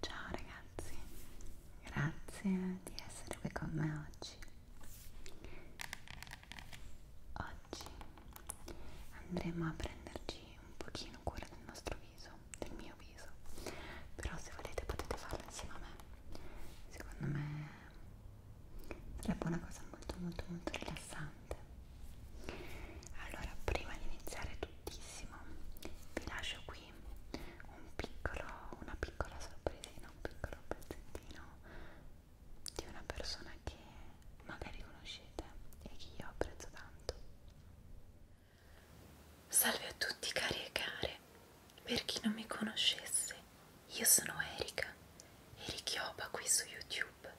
Ciao ragazzi, grazie di essere qui con me oggi. Oggi andremo a prenderci un pochino cura del nostro viso viso, del mio viso però se volete potete farlo insieme a me secondo me sarebbe una cosa molto molto molto rilassante allora prima di iniziare tuttissimo vi lascio qui un piccolo, una piccola sorpresina un piccolo pezzettino di una persona che magari conoscete e che io apprezzo tanto Salve a tutti cari e care, per chi non mi conoscesse, io sono Erika, Erichiopa qui su YouTube.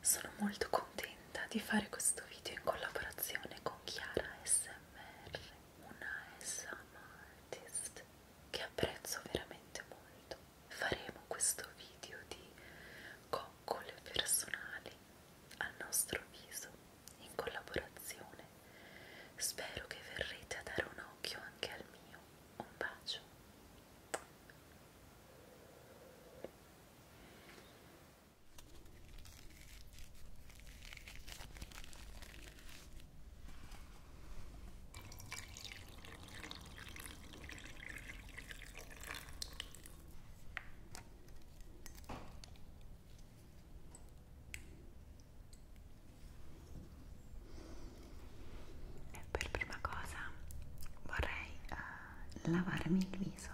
Sono molto contenta di fare questo video in collaborazione con Chiara SMR, una SM artist che apprezzo veramente molto. Faremo questo video di coccole personali al nostro viso in collaborazione. Spero che verrete a dare un occhio anche al mio. Un bacio per prima cosa vorrei uh, lavarmi il viso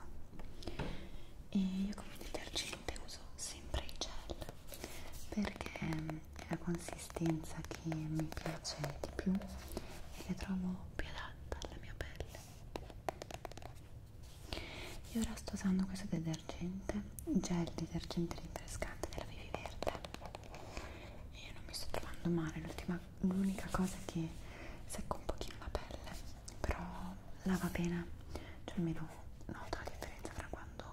e io come detergente uso sempre il gel perché mm, è la consistenza che mi piace di più e che trovo più adatta alla mia pelle io ora sto usando questo detergente, gel detergente rinfrescante della Vivi Verde e io non mi sto trovando male, l'unica cosa è che secco un pochino la pelle, però lava bene, cioè almeno noto la differenza tra quando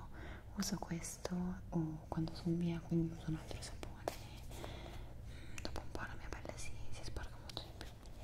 uso questo o quando sono via, quindi uso un altro sapone mm, dopo un po' la mia pelle si, si sporca molto di più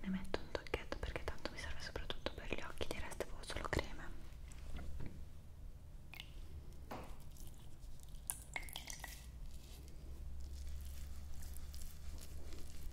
Ne metto un tocchetto perché tanto mi serve soprattutto per gli occhi, di resto avevo solo crema.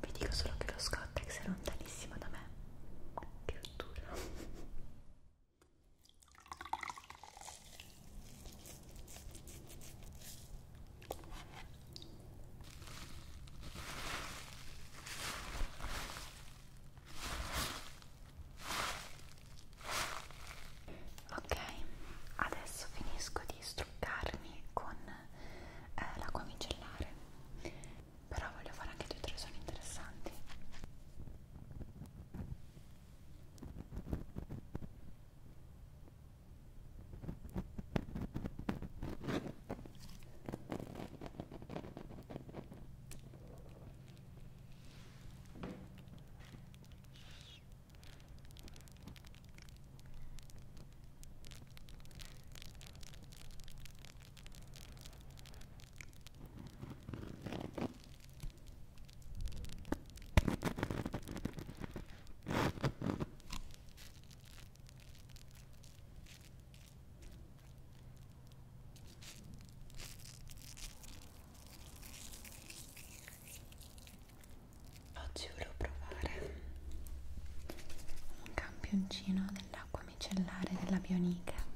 Vi dico solo che lo Scottex è lontanissimo da me che dura ok adesso finisco di struccarmi con eh, l'acqua micellare però voglio fare anche due o tre suoni interessanti Oggi volevo provare un campioncino della l'acqua micellare della Bionica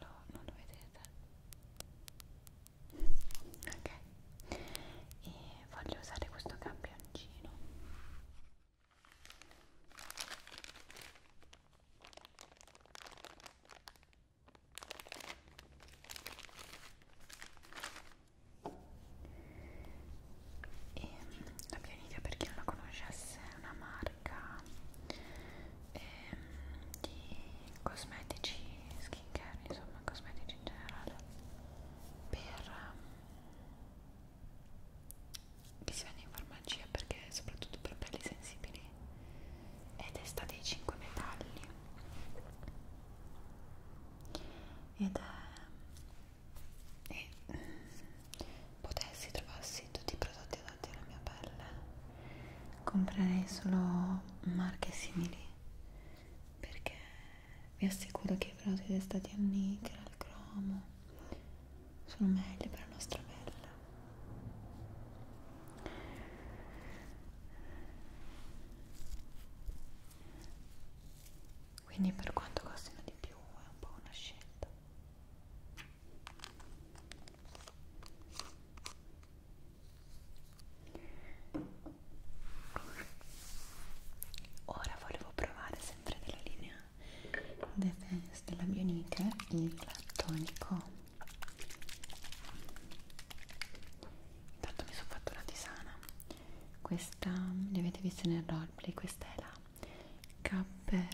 lo, non lo vedete? Ok, e voglio usare questo campioncino. E la Pianidia, per chi non la conoscesse, è una marca eh, di cosmetici skincare, insomma, cosmetici in generale, per, ehm, che si vende in farmacia perché soprattutto per pelli sensibili è testa dei 5 metalli ed è e potessi trovarsi tutti i prodotti adatti alla mia pelle comprerei solo marche simili perché vi assicuro che i prodotti testati a nickel, al cromo sono meglio per la nostra pelle. Quindi per quanto costino di più è un po' una scelta. Ora volevo provare sempre della linea The Fence della Bionicle il tonico intanto mi sono fatto una tisana questa li avete visti nel roleplay questa è la Capper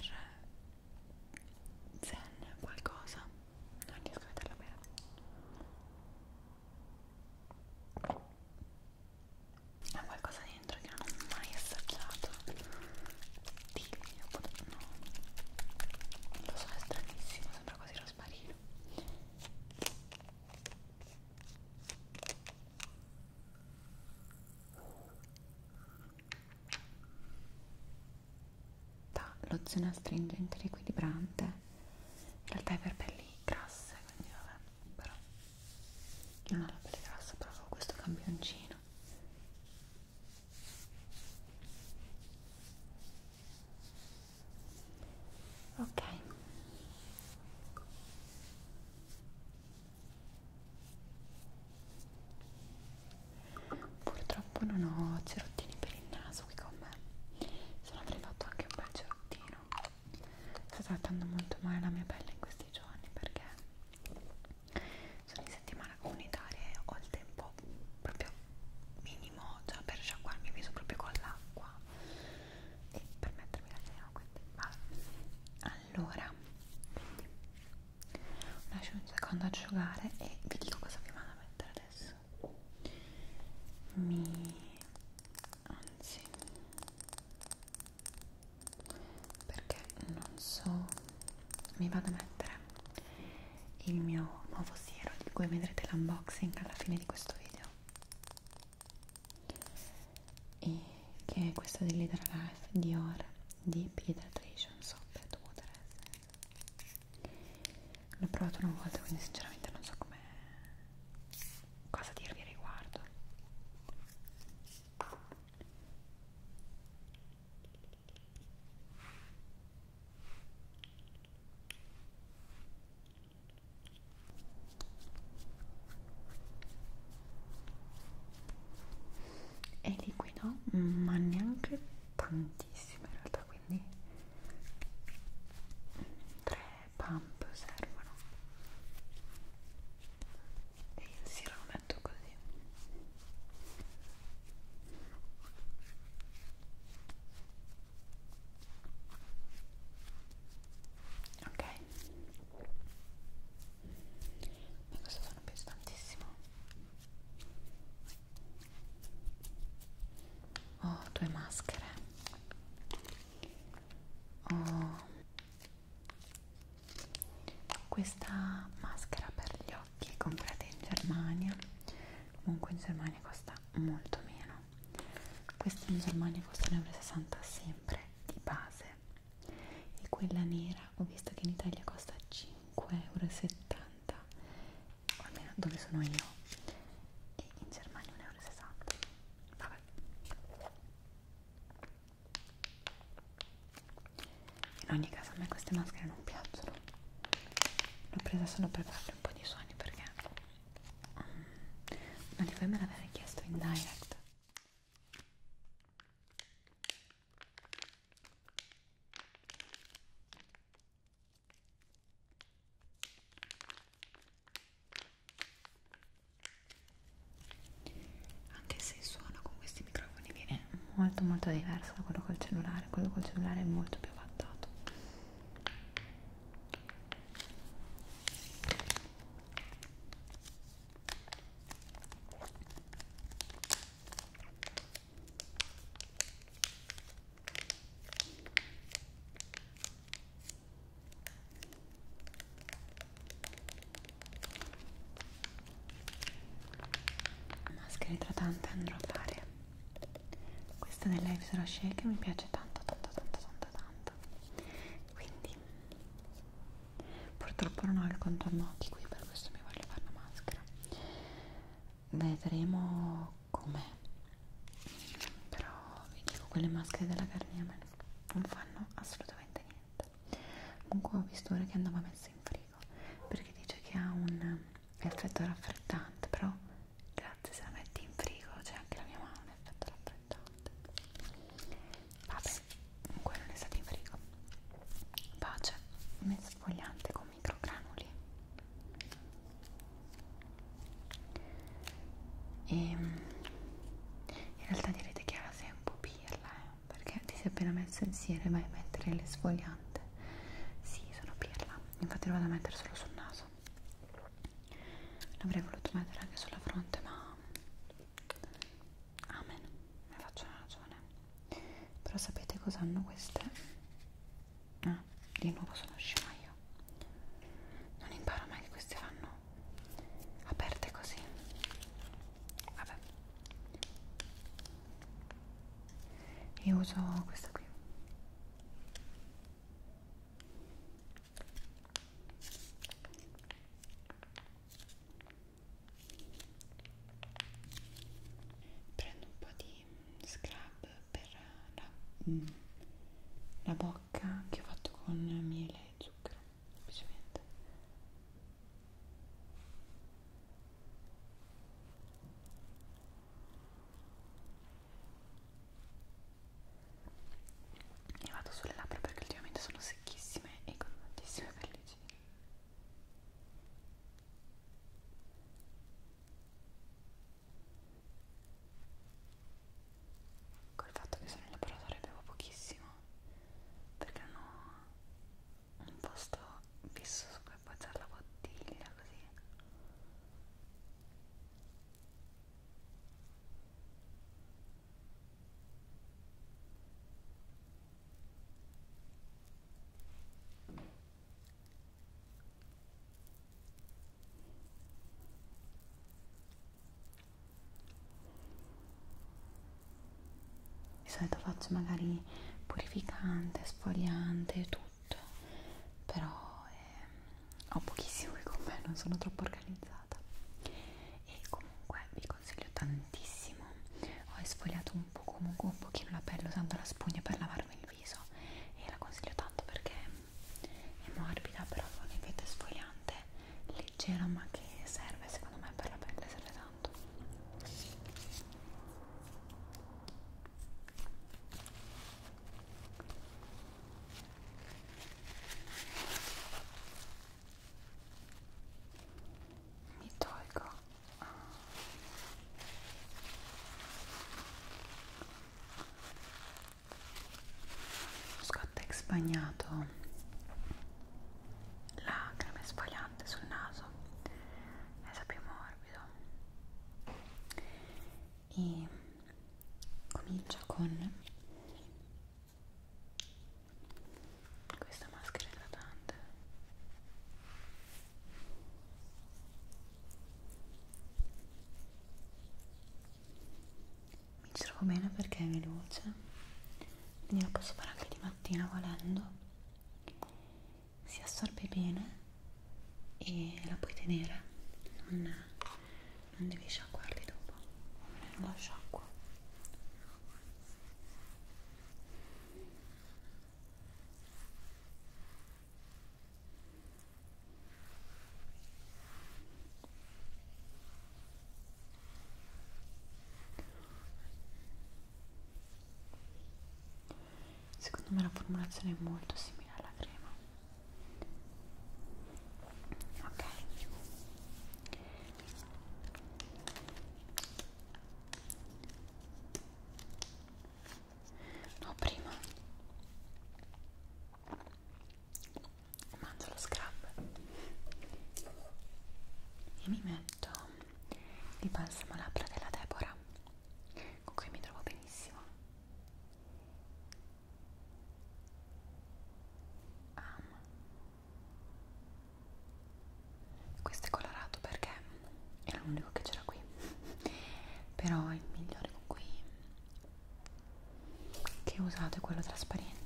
Zen qualcosa non riesco a vederla bene ha qualcosa dentro che non ho mai assaggiato Tiglio, no. Non lo so, è stranissimo, sembra quasi rosmarino. Da lozione astringente riequilibrante. In realtà è per pelli grasse, quindi vabbè, però io non ho la pelle grassa, però avevo questo campioncino ok purtroppo non ho cerottini per il naso qui con me se no avrei fatto anche un bel cerottino sta trattando molto male la mia pelle in questi giorni perché sono in settimana comunitaria e ho il tempo proprio minimo già per sciacquarmi il viso proprio con l'acqua e per mettermi la cena quindi vale. allora quindi, lascio un secondo asciugare e vi dico cosa vi vado a mettere adesso mi anzi perché non so mi vado a mettere il mio nuovo siero di cui vedrete l'unboxing alla fine di questo video e che è questo di Lidera Life Dior di Pediatrician Soap and Water Essence l'ho provato una volta quindi sinceramente non so come cosa dirvi riguardo è liquido ma neanche tantissimo in realtà quindi tre pump servono e insieme lo metto così ok ma questo sono piace tantissimo ho oh, due maschere ho oh questa maschera per gli occhi è comprata in Germania comunque in Germania costa molto meno questa in Germania costa 1,60 euro sempre di base e quella nera ho visto che in Italia costa 5,70 euro o almeno dove sono io e in Germania 1,60 euro vabbè in ogni caso a me queste maschere non piacciono l'ho presa solo per farle un po' di suoni perché um, non li puoi me l'avere chiesto in direct anche se il suono con questi microfoni viene molto molto diverso da quello col cellulare quello col cellulare è molto più fattato maschera idratante andrò a fare questa dell'Ives Rocher che mi piace tanto tanto tanto tanto tanto quindi purtroppo non ho il contorno occhi qui per questo mi voglio fare una maschera vedremo com'è però vi dico quelle maschere della Garnier non fanno assolutamente niente comunque ho visto ora che andava messa in frigo perché dice che ha un effetto raffreddante però grazie se la metti in frigo c'è anche la mia mano un effetto raffreddante vabbè comunque non è stato in frigo pace mezzo sfogliante con microgranuli e ehm, in realtà direte che era sempre pirla eh perché ti sei appena messo insieme vai a mettere le sfogliante sì sono pirla infatti lo vado a mettere solo sul naso l'avrei voluto mettere anche sulla fronte ma amen ne faccio una ragione però sapete cosa hanno queste? ah di nuovo sono scema io non imparo mai che queste vanno aperte così vabbè e uso questa qui prendo un po' di scrub per la, mm, la bocca che ho fatto con miele e zucchero semplicemente e vado sulle labbra perché ultimamente sono secchissime e con tantissime pellicine col fatto che sono in laboratorio bevo pochissimo perché hanno un posto fisso su cui appoggiare la bottiglia così di solito faccio magari purificante, sfogliante, tutto però eh, ho pochissime con me, non sono troppo organizzata e comunque vi consiglio tantissimo ho esfoliato un po' comunque un pochino la pelle usando la spugna per lavarmi il viso e la consiglio tanto perché è morbida però con effetto esfoliante leggera ma che serve secondo me per la pelle serve tanto mi tolgo ah. Scottex bagnato la crema esfoliante sul naso resa più morbido e comincio con questa maschera idratante mi ci trovo bene perché è veloce quindi lo posso fare anche di mattina volendo si assorbe bene e la puoi tenere non, non devi sciacquarli dopo non la sciacquo Secondo me la formulazione è molto simile alla crema. Ok. No, prima mangio lo scrub e mi metto il balsamo labbra della Deborah con cui mi trovo benissimo um. questo è colorato perché era l'unico che c'era qui però è il migliore con cui che usate quello trasparente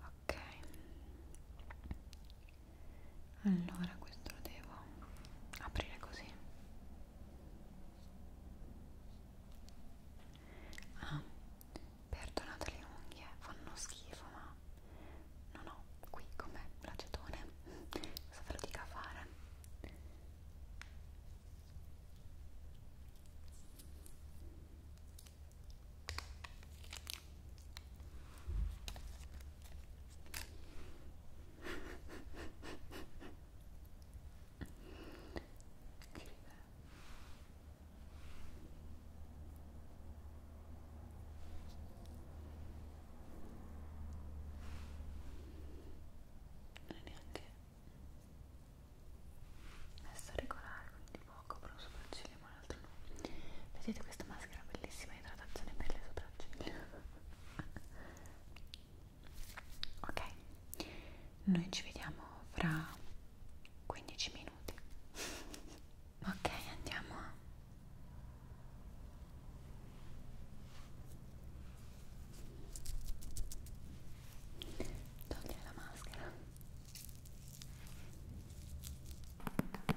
ok allora questo lo devo aprire così ah perdonate le unghie eh, fanno schifo ma No, no, qui com'è l'acetone? Cosa ve lo dica a fare? Scrive non è neanche messa regolare quindi poco per un sopracciglia ma l'altro no vedete questa maschera bellissima idratazione per le sopracciglia ok noi ci vediamo fra 15 minuti Ok, andiamo. Togliere la maschera. Ok,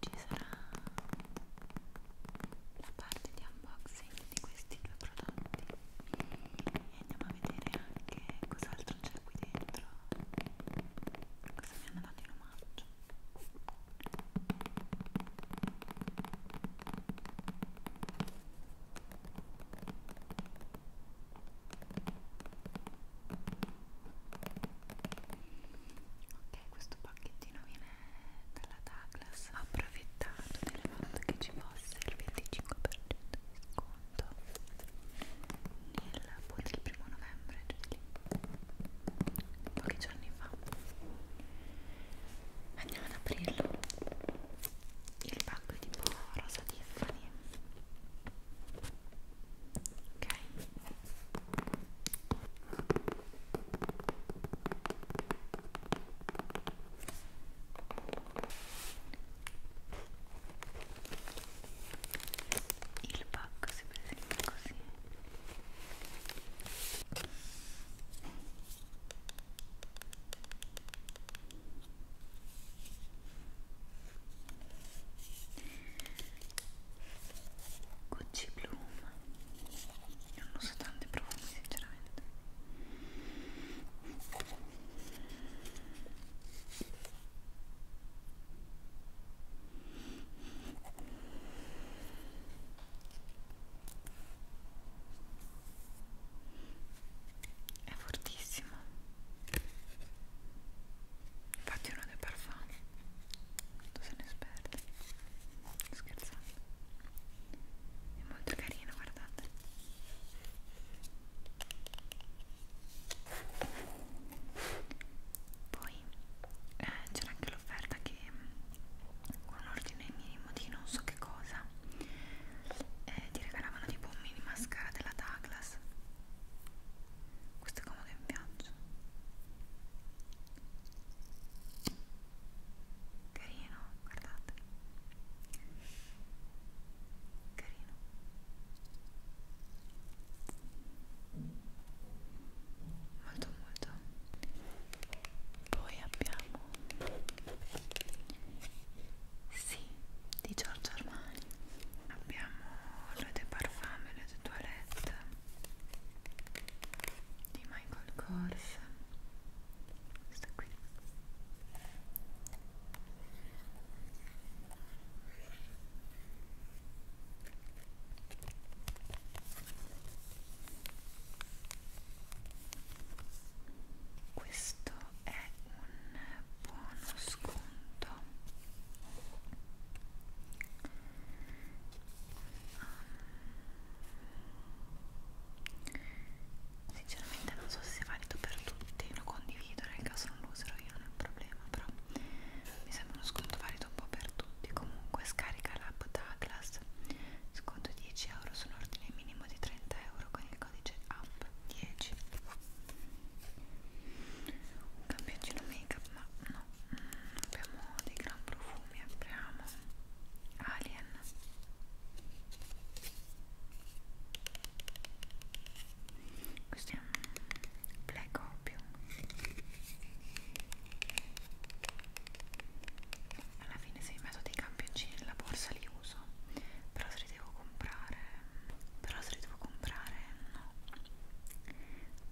ci sarà la parte di unboxing di questi due prodotti e andiamo a vedere anche cos'altro c'è qui dentro cosa mi hanno dato in omaggio Ecco ok questo pacchettino viene dalla Douglas ho approfittato del fatto che ci fosse il 25% di sconto nel appunto boh, il primo novembre cioè lì, pochi giorni fa andiamo ad aprirlo il pacco è tipo rosa Tiffany ok il pacco si presenta così. Gucci Bloom non uso tanti profumi sinceramente è fortissimo Infatti uno dei parfum Tu sei un'esperta Scherzando È molto carino, guardate Poi eh, c'era anche l'offerta che mm, con un ordine minimo di non so che cosa eh, ti regalavano tipo un mini mascara della Douglas questo è comodo in viaggio. Carino, guardate. Carino. Molto molto. Poi abbiamo sì, di Giorgio Armani abbiamo l'eau de parfum, Papeterie de Toilette di Michael Kors questa qui questo è un buono sconto um, sinceramente non so se sia valido per tutti lo condivido nel caso non lo userò io non è un problema però mi sembra uno sconto valido un po' per tutti comunque scarica l'app Douglas sconto 10 euro su un ordine minimo di 30 euro con il codice app 10 un campioncino make up ma no mm, abbiamo dei gran profumi apriamo alien questo è un black opium alla fine se mi metto dei campioncini nella borsa li uso però se li devo comprare mm, però se li devo comprare no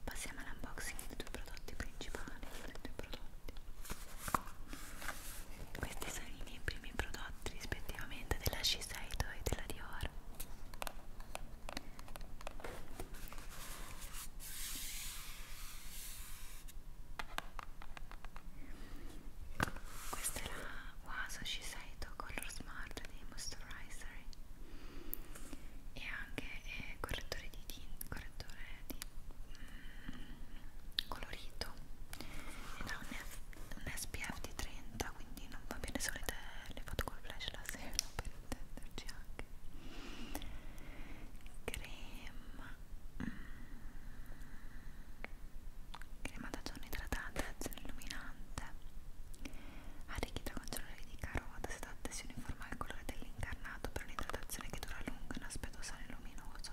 passiamo all'unboxing dei due prodotti principali dei due prodotti questi sono i miei primi prodotti rispettivamente della Shiseido e della Dior questa è la Waso Shiseido Color Smart dei Moisturizer e anche eh, correttore di tinta, correttore di mm, colorito ed ha un, F, un SPF di 30 quindi non va bene se volete le foto col flash la sera per intenderci anche crema mm, crema da giorno idratata, azione illuminante Arricchita con cellulari di carota, sedante si uniforma al colore dell'incarnato per un'idratazione che dura a lungo e un aspetto sano e luminoso.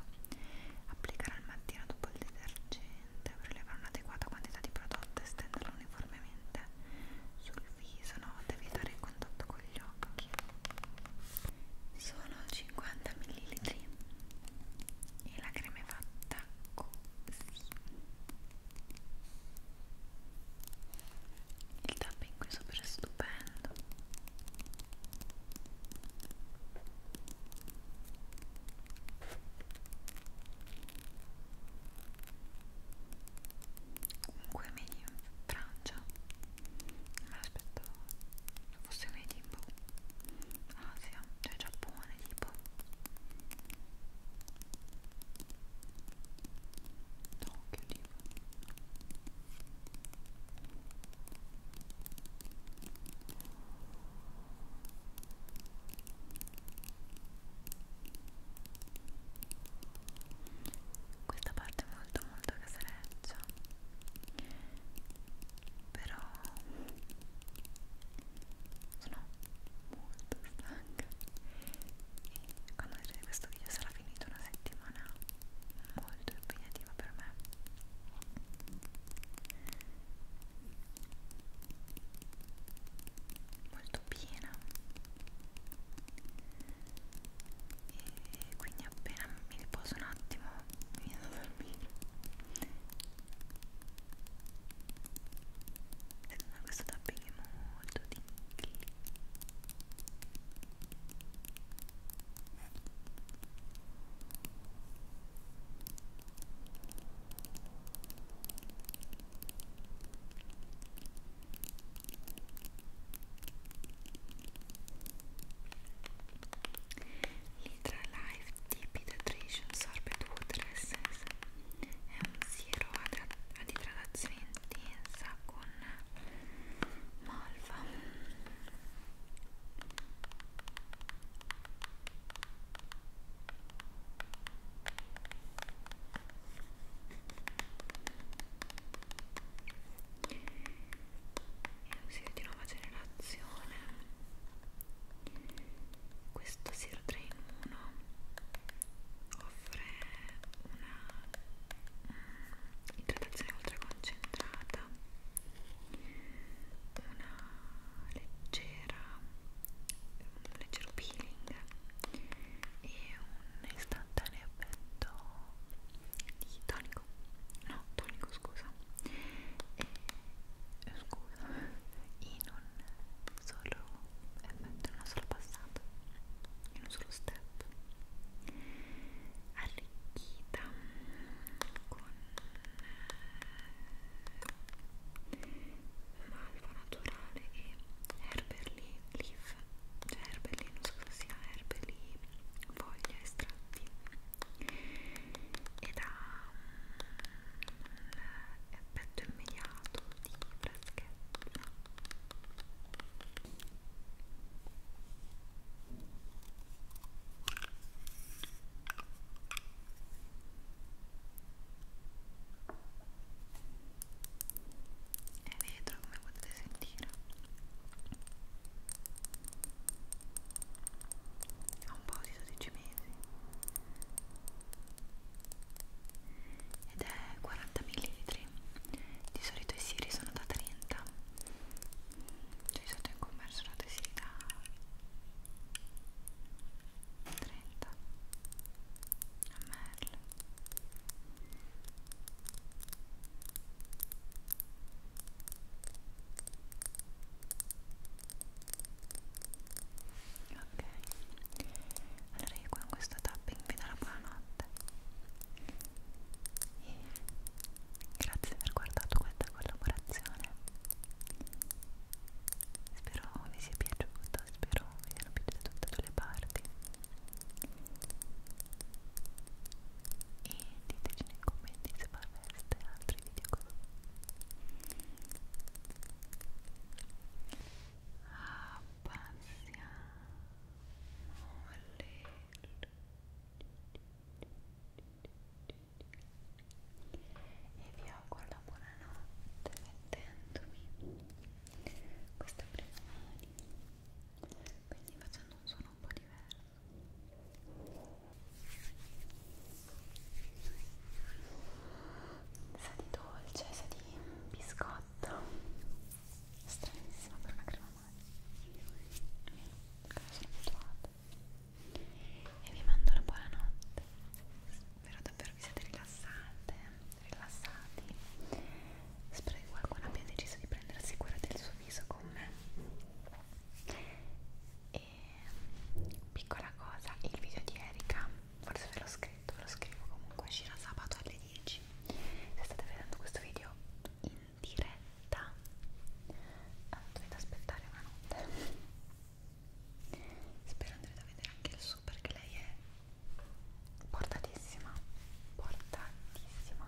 Applicare al mattino dopo il detergente per levare un'adeguata quantità di prodotto e stenderlo uniformemente sul viso, note, evitare il contatto con gli occhi. Sono 50 ml e la crema è fatta così il tapping qui sopra è stupendo comunque made in Francia non me l'aspettavo fosse made in boh Asia, cioè Giappone tipo No, che oliva. Questa parte è molto molto casareccia però sono molto stanca e quando vedrete questo video sarà finita una settimana molto impegnativa per me molto piena e quindi appena mi riposo un attimo mi vado a dormire ma questo tapping è molto tingly Litra Life Deep Hydration Sorbet Water Essence è un siero ad idratazione intensa con malva è un siero di nuova generazione questo Sir Drain 1 offre una mm, idratazione ultra concentrata una leggera un leggero peeling e un istantaneo effetto di tonico no tonico scusa e scusa ino un solo effetto, eh, in una sola passata, in un solo step arricchita con eh, malva naturale e herberly leaf cioè herberly, non so cosa sia herberly foglia, estratti ed ha l'effetto immediato di freschezza e vetro come potete sentire ha un po' di 12 mesi ed è 40 ml di solito i siri sono da 30 cioè di solito in commercio sono dei siri da 30 ml e ok allora io con questo tapping vi do la buonanotte e grazie per aver guardato questa collaborazione spero vi sia piaciuta spero vi siano piaciute tutte le parti e diteci nei commenti se fareste altri video con Abbassiamo le e vi auguro la buonanotte mettendomi queste prima mani quindi facendo un suono un po' diverso sa di dolce, sa di biscotto stranissima per una crema e vi mando una buona notte spero davvero vi siete rilassate rilassati spero che qualcuno abbia deciso di prendersi cura del suo viso con me e piccola cosa il video di Erika forse ve l'ho scritto ve lo scrivo comunque uscirà sabato alle 10 se state vedendo questo video in diretta eh, dovete aspettare una notte spero andrete a vedere anche il suo perché lei è portatissima portatissima